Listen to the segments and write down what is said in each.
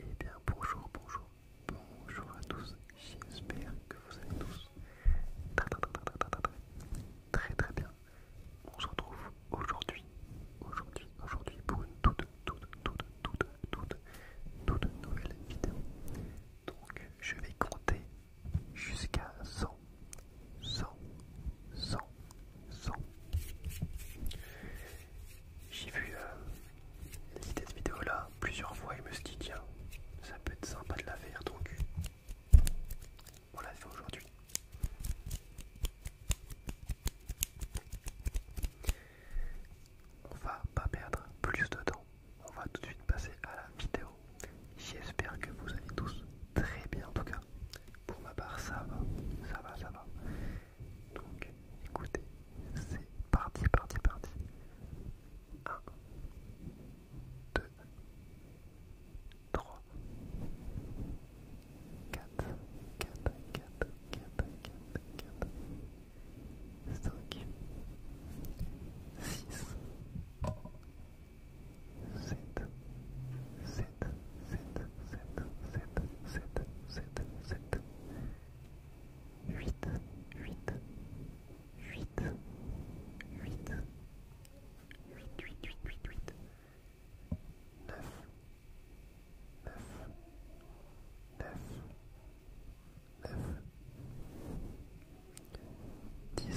Eh bien bonjour, bonjour, bonjour à tous, j'espère que vous allez tous très très très bien. On se retrouve aujourd'hui, aujourd'hui, aujourd'hui pour une toute, toute, toute, toute, toute, toute nouvelle vidéo. Donc je vais compter jusqu'à 100, 100, 100, 100. J'ai vu cette euh, vidéo là plusieurs fois et me suis dit tiens, ça peut être sympa de la faire donc on l'a fait aujourd'hui. On va pas perdre plus de temps, on va tout de suite passer à la vidéo. J'espère que vous allez tous très bien en tout cas. Pour ma part ça va, ça va, ça va. Donc écoutez, c'est parti, parti, parti. 1, 2, 3, 4, 5, 7, 8, huit huit huit huit huit huit 9, 10,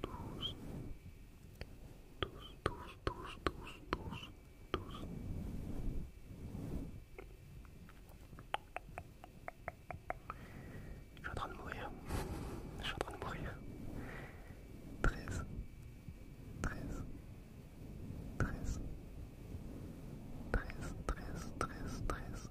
tous, tous, tous, tous, tous, Je suis en train de mourir. Je suis en train de mourir. 13, 13, 13, 13, 13, 13, 13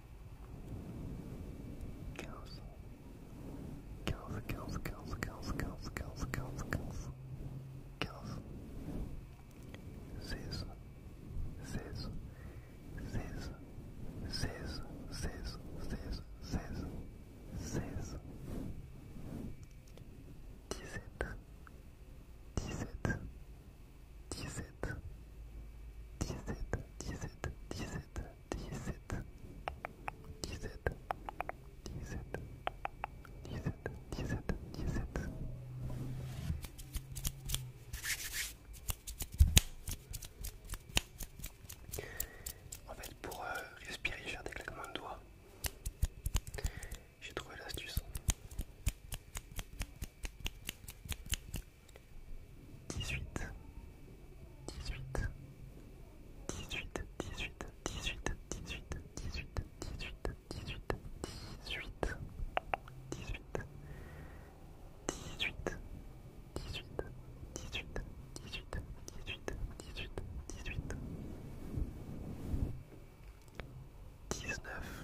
15 quinze quinze quinze quinze quinze quinze quinze quinze quinze 16 16 16 16 16 16 16 seize 17 17 17 17 17 17 17 17 17 17 En fait pour euh, respirer sans déclicment de doigts. J'ai trouvé l'astuce dix-huit, dix-huit, dix-huit, dix-huit, dix-huit, dix-huit, dix-huit, dix-huit, dix-huit, dix-huit, dix-huit, dix-huit, dix-huit, dix-huit, dix-huit, dix-huit, dix-huit, dix-huit, dix neuf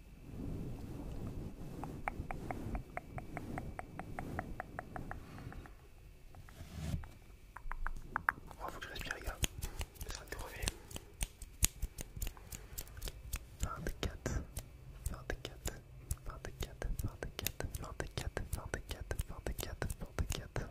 Oh, faut que je respire, gars. C'est en train de crever. 24, 24, 24, 24, 24, 24, 24, 24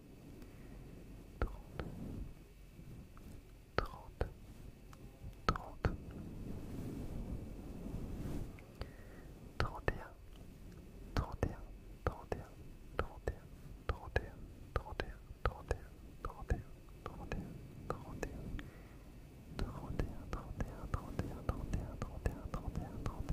trente, trente, trente, trente et un, trente un, trente et un, trente un, trente un, trente et un, trente et un, trente et un, trente et un, trente et un. trente 31 31 trente 31 31 trente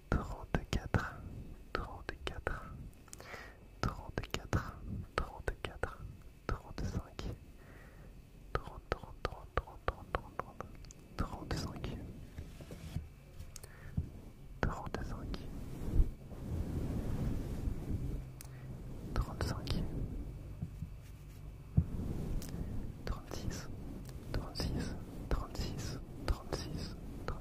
trente-quatre, 34 quatre 35 quatre trente-quatre, trente-cinq, trente, trente, trente-six,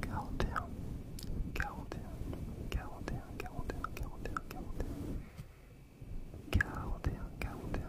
Quarante et 41 quarante 41 un, quarante et 42 42 un, quarante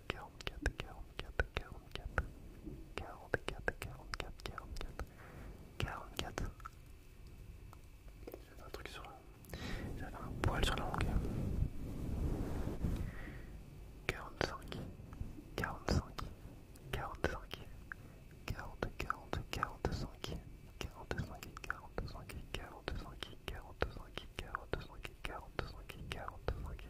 44, 44, 44, 44, 44, 44, 44. J'avais un truc sur. 45 un poil sur la langue. 45, 45, 45, 40, 40, 45, 45, 45, 45, 45, 45, 45, 45, 45.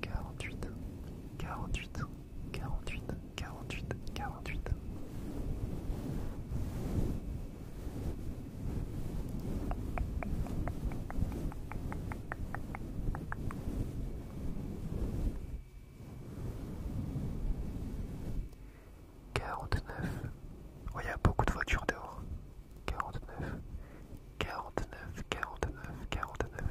quarante-huit, quarante-huit, quarante-huit, quarante-huit, quarante-huit. Quarante-neuf. Oh, il a beaucoup de voitures dehors. Quarante-neuf, quarante-neuf, quarante-neuf, quarante-neuf.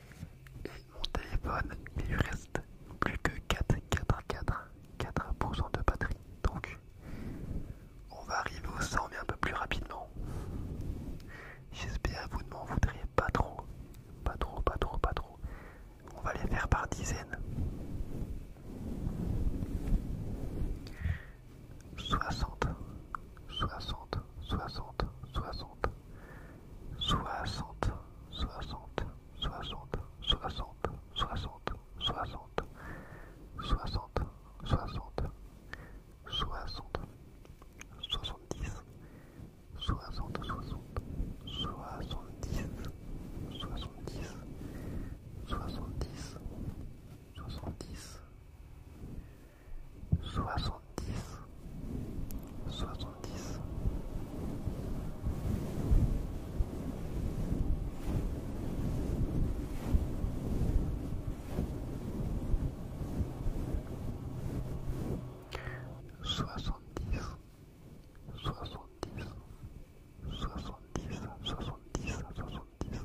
Et mon téléphone, il lui reste plus que 4, 4, 4, 4% de batterie. Donc, on va arriver au 100 mais un peu plus rapidement. J'espère que vous ne m'en voudrez pas trop. Pas trop, pas trop, pas trop. On va les faire par dizaines. 60, 60, 60, 60, soixante, soixante, soixante, soixante, soixante, soixante, soixante, soixante, soixante, soixante-dix, soixante, soixante, soixante-dix, soixante-dix, soixante-dix, soixante-dix soixante-dix, soixante-dix. Soixante-dix, soixante-dix, soixante-dix, soixante-dix, soixante-dix,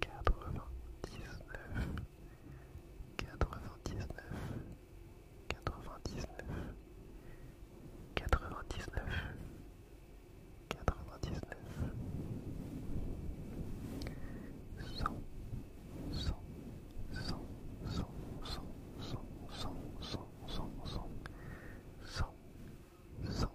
quatre-vingt-dix-neuf, quatre-vingt-dix-neuf, quatre-vingt-dix-neuf, quatre-vingt-dix-neuf, quatre-vingt-dix-neuf, cent, cent, cent, cent, cent, cent, cent, cent, cent, cent, cent, cent,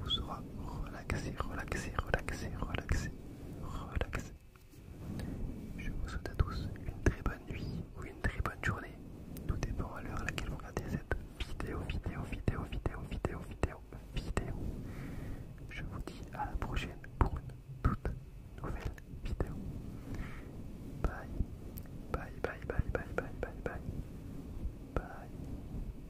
vous sera relaxé, relaxé, relaxé, relaxé, relaxé. Je vous souhaite à tous une très bonne nuit ou une très bonne journée. Tout dépend à l'heure à laquelle vous regardez cette vidéo, vidéo, vidéo, vidéo, vidéo, vidéo, vidéo. Je vous dis à la prochaine pour une toute nouvelle vidéo. Bye, bye, bye, bye, bye, bye, bye, bye, bye.